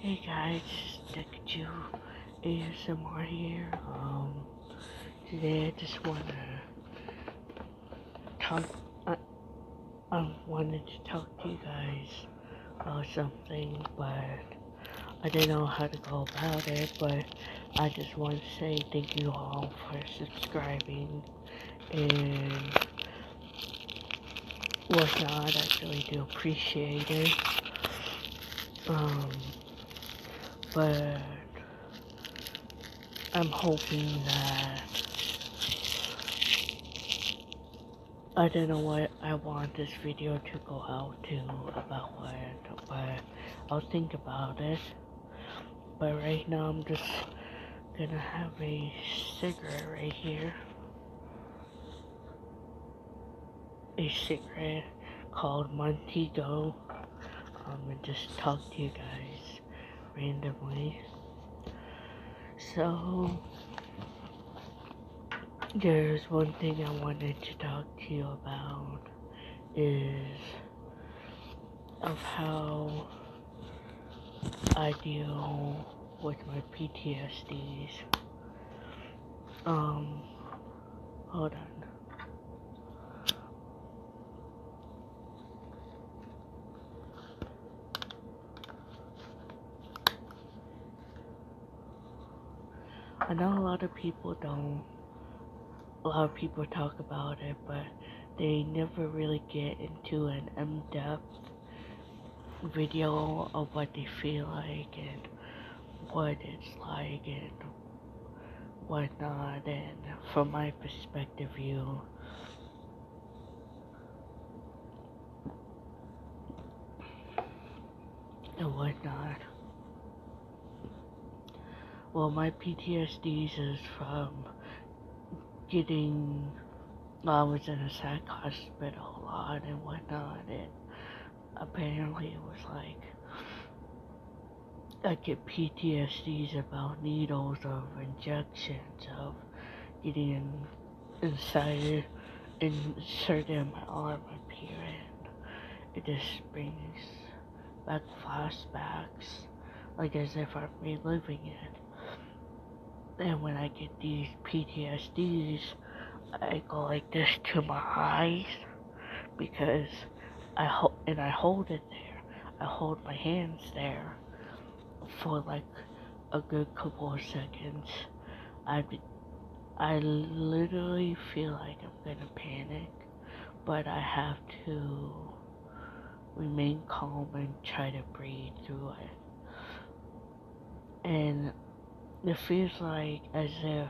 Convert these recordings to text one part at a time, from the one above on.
Hey guys, Deku more here. Um, today I just wanna talk. I, uh, I wanted to talk to you guys or something, but I didn't know how to go about it. But I just want to say thank you all for subscribing and whatnot. I really do appreciate it. Um, but I'm hoping that I don't know why I want this video to go out to about what, but I'll think about it. But right now I'm just gonna have a cigarette right here. A cigarette called Montego. I'm gonna just talk to you guys randomly. So, there's one thing I wanted to talk to you about is of how I deal with my PTSDs. Um, hold on. I know a lot of people don't, a lot of people talk about it, but they never really get into an in-depth video of what they feel like and what it's like and whatnot and from my perspective view and whatnot well my PTSD is from getting, I was in a psych hospital a lot and whatnot, and apparently it was like, I get PTSDs about needles, of injections, of getting inside, inserted in my arm up here, it just brings back flashbacks, like as if I'm reliving it. And when I get these PTSDs, I go like this to my eyes because I hold and I hold it there. I hold my hands there for like a good couple of seconds. I I literally feel like I'm gonna panic, but I have to remain calm and try to breathe through it. And it feels like as if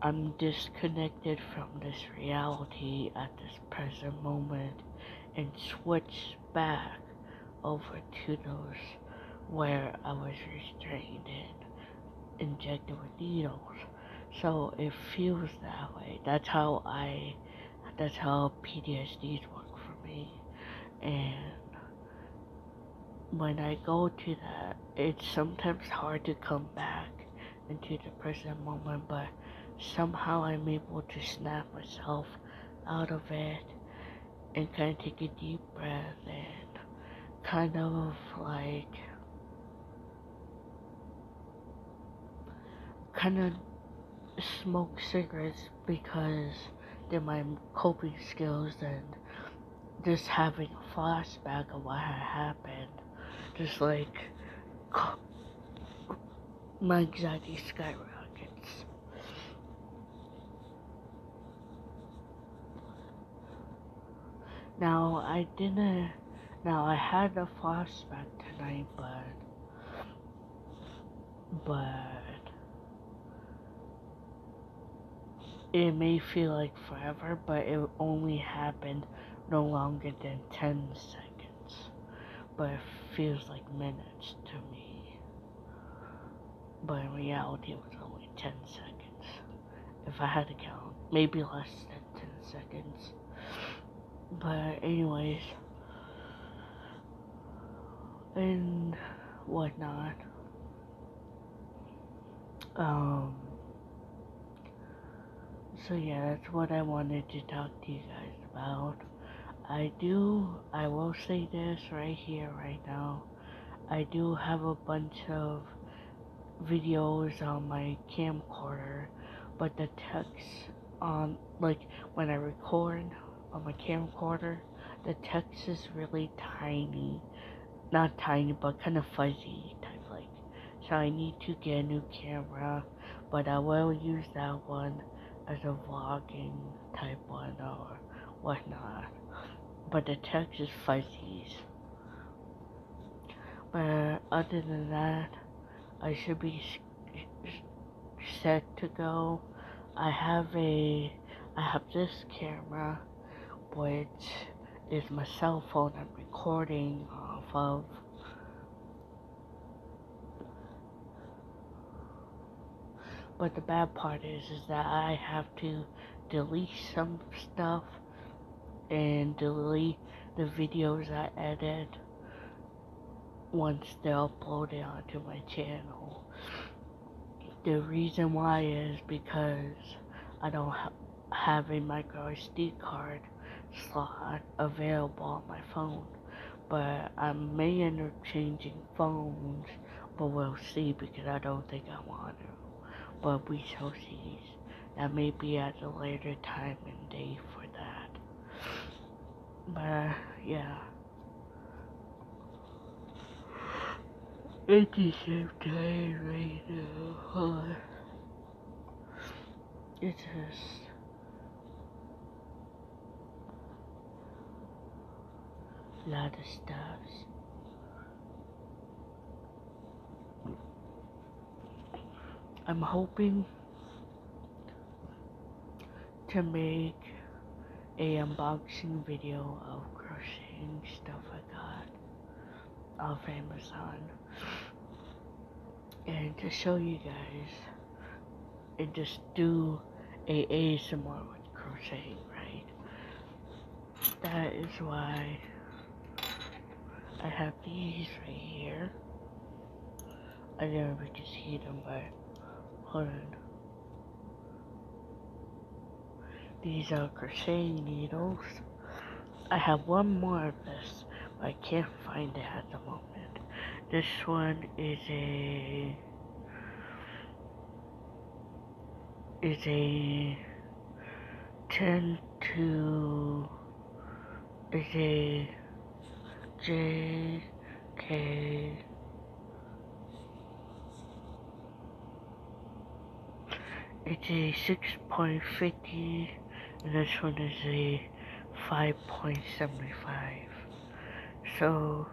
I'm disconnected from this reality at this present moment and switched back over to those where I was restrained and injected with needles. So it feels that way. That's how I that's how PTSDs work for me. And when I go to that, it's sometimes hard to come back into the present moment, but somehow I'm able to snap myself out of it and kind of take a deep breath and kind of like kind of smoke cigarettes because they're my coping skills and just having a flashback of what had happened just like my anxiety skyrockets. Now I didn't now I had a flashback tonight but but it may feel like forever, but it only happened no longer than 10 seconds. But it feels like minutes to me. But in reality, it was only 10 seconds. If I had to count, maybe less than 10 seconds. But anyways, and whatnot. Um. So yeah, that's what I wanted to talk to you guys about. I do, I will say this right here, right now. I do have a bunch of videos on my camcorder but the text on, like, when I record on my camcorder, the text is really tiny. Not tiny, but kind of fuzzy type like. So I need to get a new camera, but I will use that one as a vlogging type one or whatnot. But the text is fuzzy. But other than that, I should be set to go. I have a, I have this camera, which is my cell phone I'm recording off of. But the bad part is, is that I have to delete some stuff and delete the videos I added once they're uploaded onto my channel. The reason why is because I don't have a micro SD card slot available on my phone. But I may end up changing phones, but we'll see because I don't think I want to. But we shall see. That may be at a later time and day for that but yeah it is a time right now it is a lot of stars I'm hoping to make a unboxing video of crocheting stuff I got off Amazon and to show you guys and just do a a ASMR with crocheting right that is why I have these right here I never meant to see them, but hold on. These are crochet needles. I have one more of this, but I can't find it at the moment. This one is a is a 10 to J J K it's a 6.50 and this one is a 5.75 so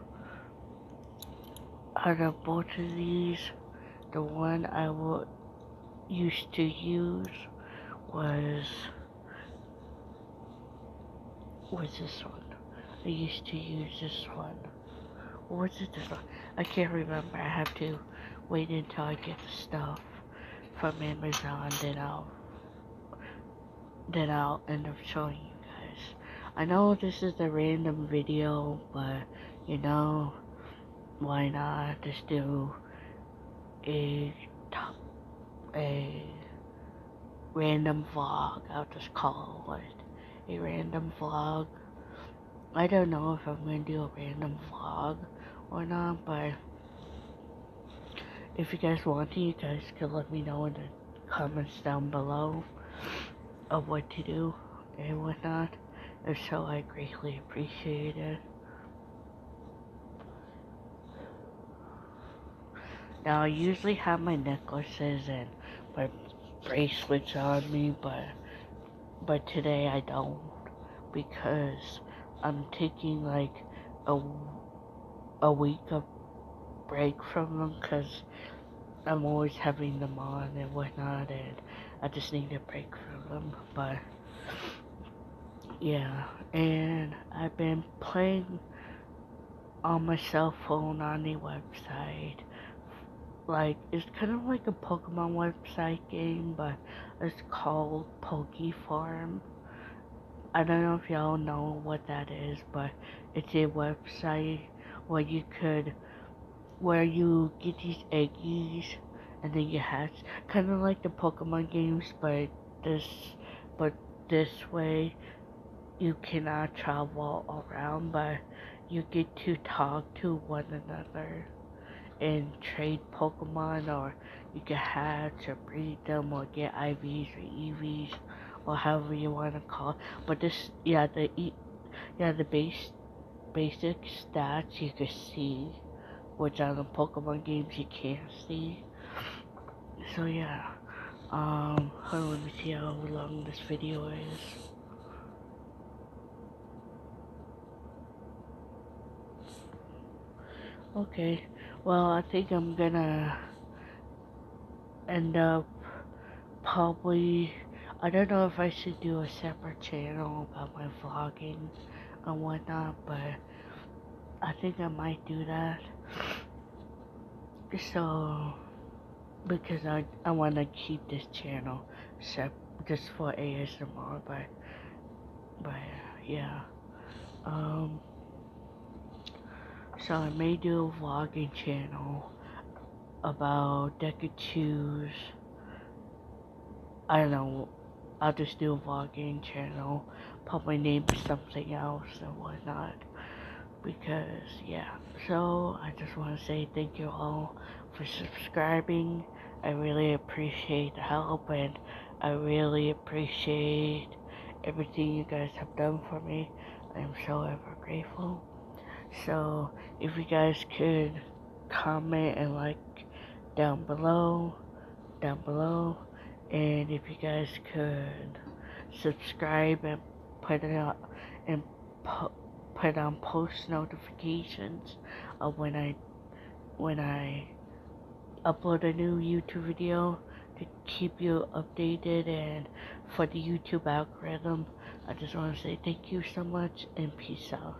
out of both of these the one I will used to use was Where's this one? I used to use this one. What's it this one? I can't remember. I have to wait until I get the stuff from Amazon. Then I'll, then I'll end up showing you guys. I know this is a random video, but you know, why not? Just do a top, a random vlog. I'll just call it a random vlog. I don't know if I'm gonna do a random vlog or not, but if you guys want you guys can let me know in the comments down below of what to do and whatnot. If so, I greatly appreciate it. Now I usually have my necklaces and my bracelets on me, but but today I don't because I'm taking like a a week of break from them because I'm always having them on and whatnot, and I just need a break from them. But yeah, and I've been playing on my cell phone on the website. Like, it's kind of like a Pokemon website game, but it's called Poke Farm. I don't know if y'all know what that is, but it's a website where you could, where you get these eggies and then you hatch. Kind of like the Pokemon games, but this but this way you cannot travel around but you get to talk to one another and trade Pokemon or you can hatch or breed them or get IVs or EVs or however you want to call it. But this, yeah, the yeah the base basic stats you can see, which on the Pokemon games you can't see. So yeah, um, let me see how long this video is. Okay, well I think I'm gonna end up probably, I don't know if I should do a separate channel about my vlogging and whatnot, but I think I might do that. So, because I, I want to keep this channel set just for ASMR, but, but yeah. Um, so I may do a vlogging channel about Deca Choose. I don't know I'll just do a vlogging channel, probably name something else and whatnot. Because, yeah. So, I just want to say thank you all for subscribing. I really appreciate the help and I really appreciate everything you guys have done for me. I'm so ever grateful. So, if you guys could comment and like down below, down below, and if you guys could subscribe and put it out and put on post notifications of when I when I upload a new YouTube video to keep you updated and for the YouTube algorithm. I just want to say thank you so much and peace out.